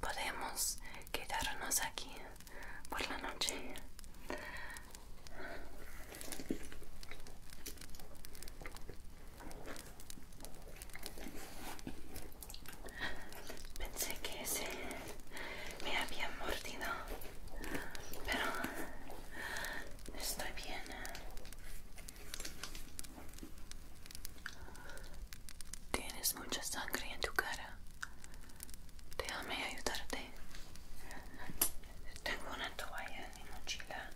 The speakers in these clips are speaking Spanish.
Podemos quedarnos aquí por la noche. Pensé que ese me había mordido, pero estoy bien. Tienes mucha sangre en tu cara. Déjame ayudarte. Tengo una toalla en mi mochila.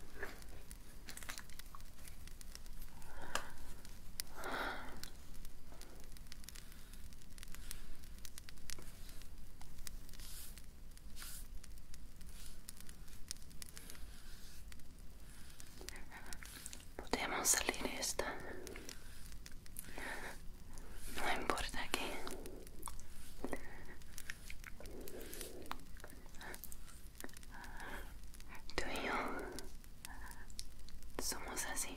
Podemos salir esta. No importa qué. Tú y somos así.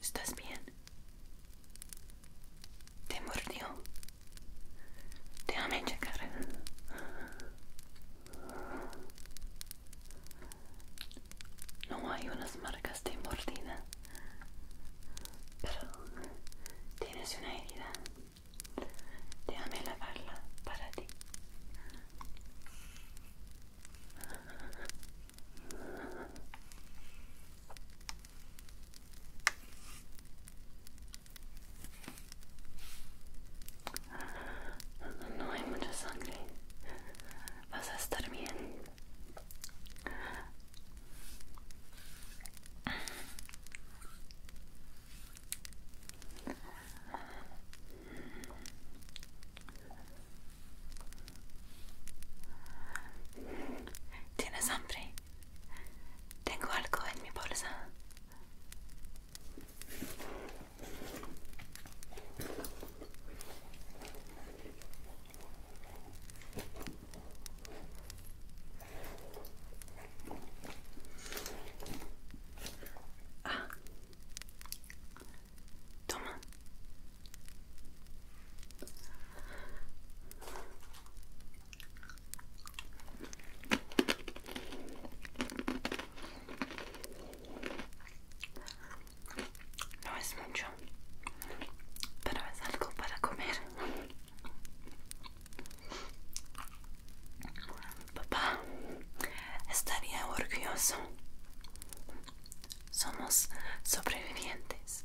¿Estás bien? ¿Te mordió? Déjame checar. No hay unas marcas de mordida. Pero tienes una herida. Déjame lavarla para ti. No hay mucha sangre. Vas a estar bien. ¿Tienes hambre? Tengo algo en mi bolsa. Ah. Toma. No es mucho, pero es algo para comer. Papá estaría orgulloso. Somos sobrevivientes.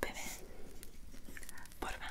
Bebé, porfa.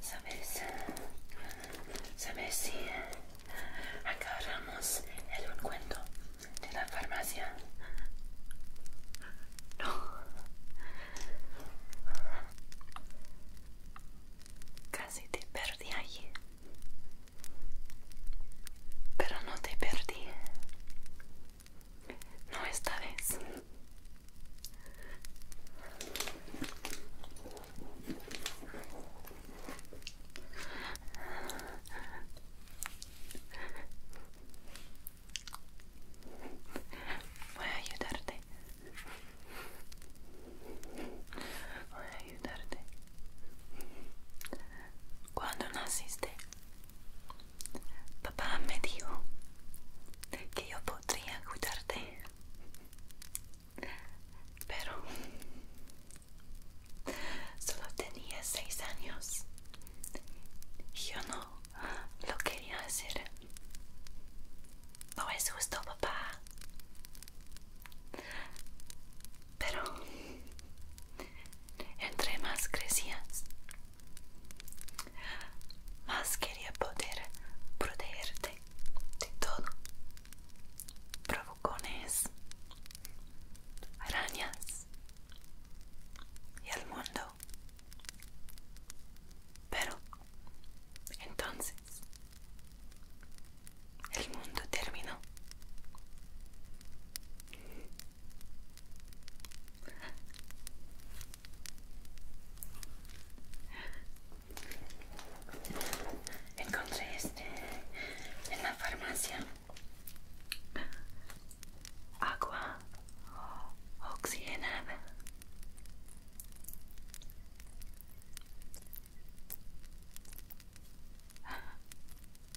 ¿Sabes? ¿Sabes si agarramos el cuento de la farmacia? No. Casi te perdí allí. Pero no te perdí. No esta vez. Voy a ayudarte. Voy a ayudarte. ¿Cuándo naciste? Papá me dijo que yo podría cuidarte, pero solo tenía seis años y yo no lo quería hacer. No es justo, papá. Pero entre más crecías, más quería poder protegerte de todo. Provocones, arañas y el mundo. Pero entonces el mundo terminó Encontré este en la farmacia. Agua oxigenada.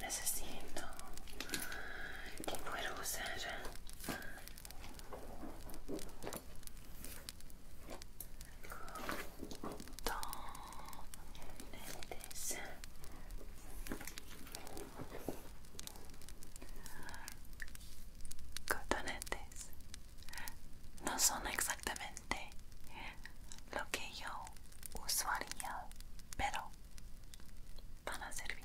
Necesito que pueda usar cotonetes no son exactamente lo que yo usaría pero van a servir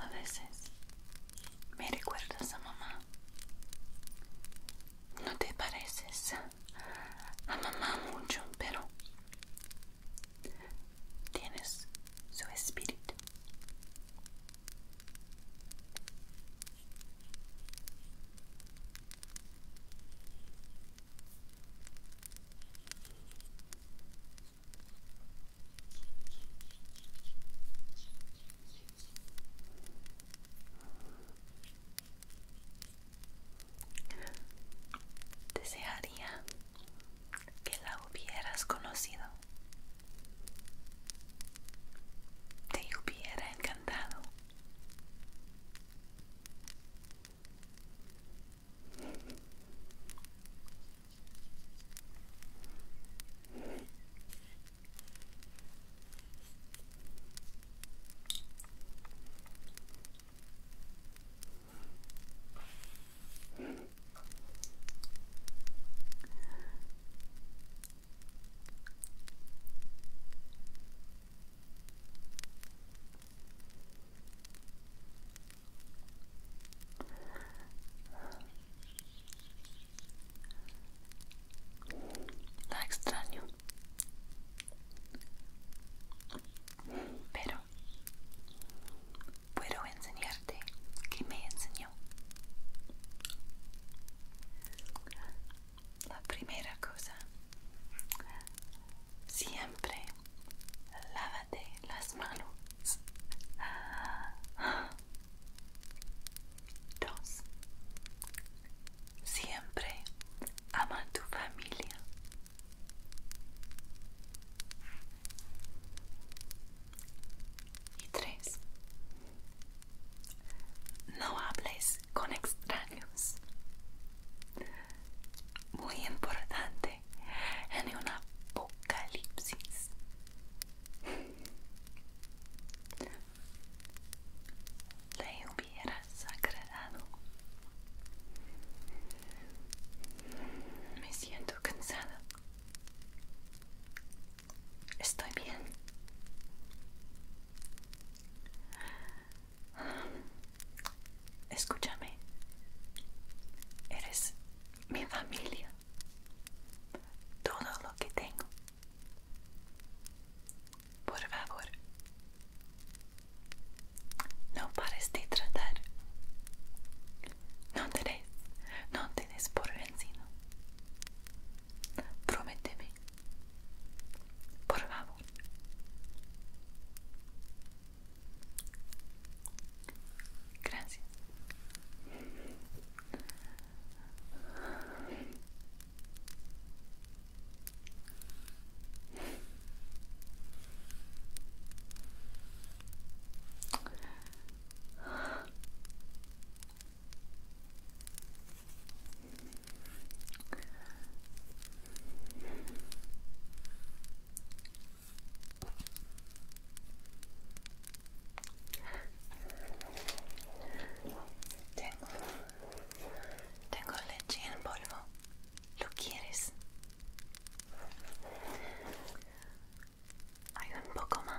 A veces me recuerdas a mamá. No te pareces a mamá mucho, pero tienes su espíritu. Desearía que la hubieras conocido te hubiera encantado. La extraño, pero puedo enseñarte que me enseñó. La primera cosa, siempre lávate las manos. Dos, siempre ama a tu familia. Y tres, no hables con extraños. Muy importante en un apocalipsis. Le hubiera sagrado. Me siento cansada. Estoy bien. Escúchame. Eres mi familia. Todo lo que tengo. Por favor. No pares de tratar. No te des, no te des por vencido. Prométeme. Por favor. Gracias. Tengo, tengo leche en polvo. ¿Lo quieres? Hay un poco más.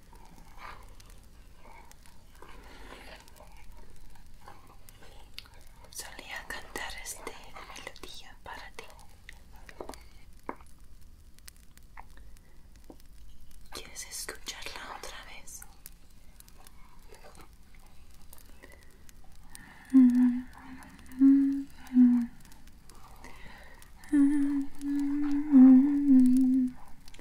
Solía cantar este melodía para ti. ¿Quieres escucharla otra vez?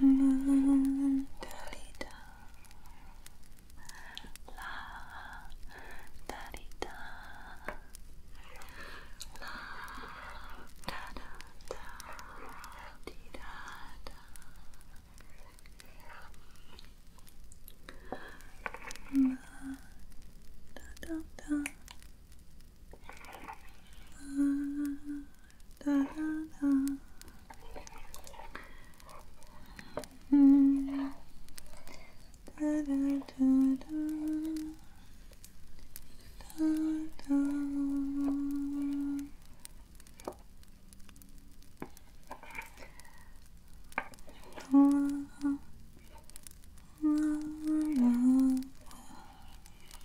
And da La da di da La da da da di da da La da da da La Da, da, da. Mm. Da, da, da, da. Da, da. La, la, la, la.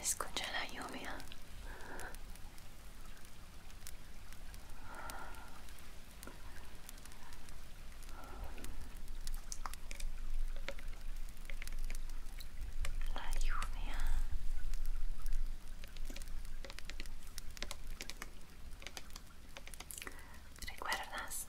Escucha la lluvia la lluvia recuerdas la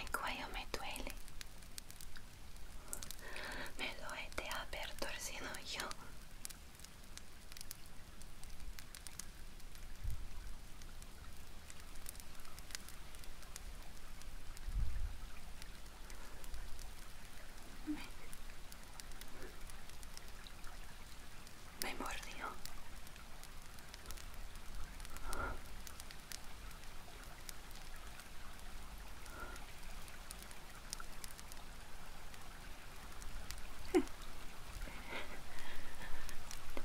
El cuello me duele. Me lo he de haber torcido yo. me mordió.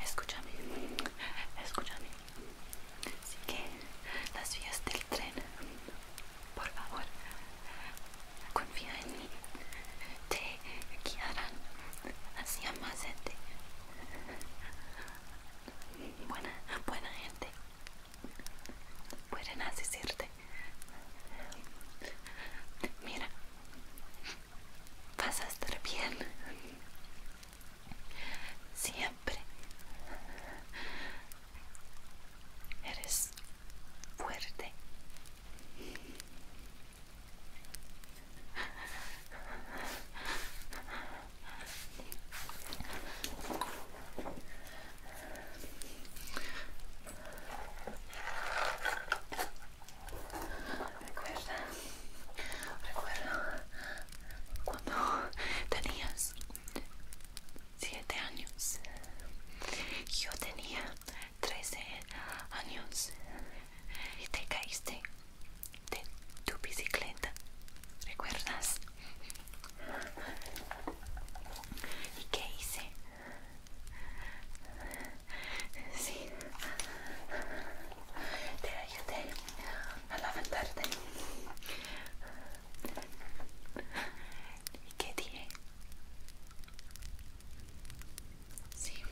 Escúchame, escúchame. Así que las vías del tren, por favor, confía en mí. Te guiarán hacia más buena, buena gente pueden asistirte mira vas a estar bien siempre eres fuerte Recuerda, recuerda cuando tenías siete años. Yo tenía 13 años y te caíste de tu bicicleta. ¿Recuerdas? ¿Y qué hice? Sí. Te ayudé a levantarte. ¿Y qué dije? Sí.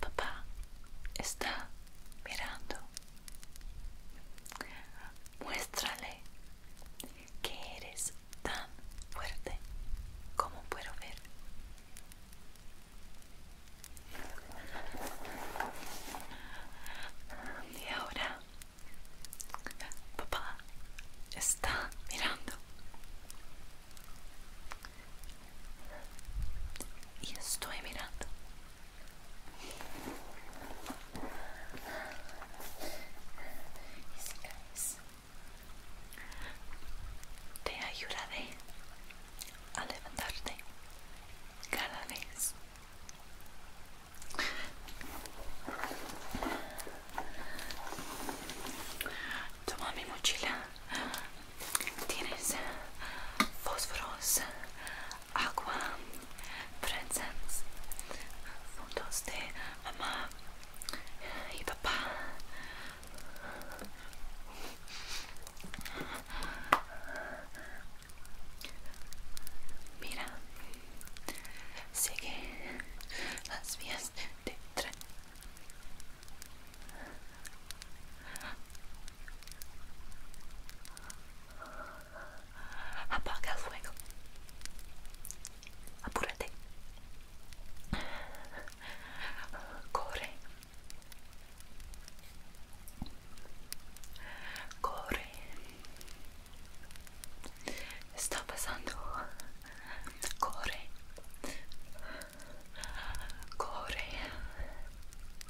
Papá está mirando Muéstrale que eres tan fuerte como puedo ver. Y ahora papá está mirando y estoy mirando te ayudaré a levantarte cada vez. Toma mi mochila tienes fósforos, agua, presents, fotos de mamá y papá. Mira, sigue las vías de tres Apaga el fuego. Apúrate. Corre. Corre. Está passando Corre. Corre.